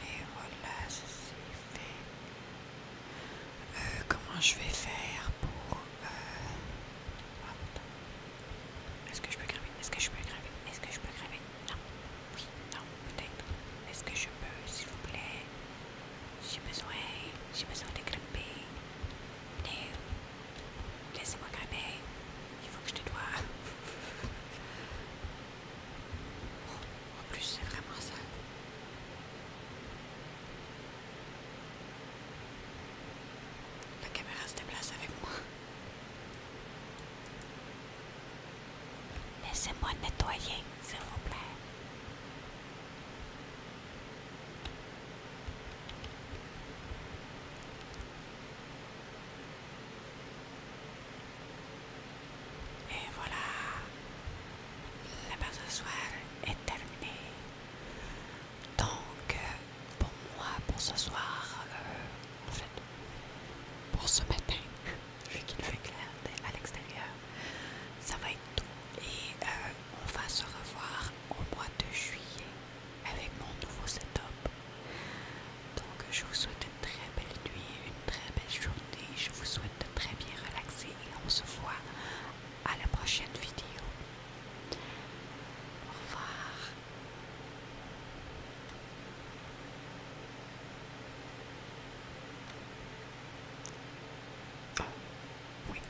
Et voilà, c'est fait. Euh, comment je vais faire pour... Euh... Oh, Est-ce que je peux grimper Est-ce que je peux grimper Est-ce que je peux grimper Non. Oui, non, peut-être. Est-ce que je peux, s'il vous plaît J'ai besoin. J'ai besoin de grimper. Laissez-moi grimper. Il faut que je te doie. Oh, en plus, c'est vraiment ça. La caméra se déplace avec moi. Laissez-moi nettoyer, s'il vous plaît. Et voilà, la base de soir est terminée. Donc, euh, pour moi, pour ce soir, euh, en fait, pour ce matin, vu qu'il fait clair à l'extérieur, ça va être tout. Et euh, on va se revoir au mois de juillet avec mon nouveau setup. Donc je vous souhaite une très belle nuit, une très belle journée. Je vous souhaite de très bien relaxer et on se voit à la prochaine vidéo. Au revoir. oui.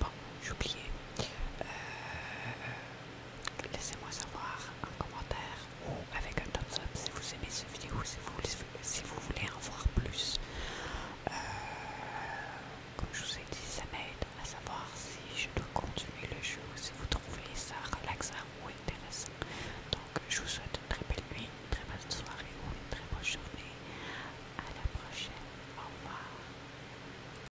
Bon, j'ai oublié. Euh, laissez-moi savoir en commentaire ou avec un thumbs up si vous aimez cette vidéo, si vous, si vous voulez en voir plus. Euh, comme je vous ai dit, ça m'aide à savoir si je dois continuer le jeu, si vous trouvez ça relaxant ou intéressant. Donc, je vous souhaite une très belle nuit, une très bonne soirée ou une très bonne journée. À la prochaine. Au revoir.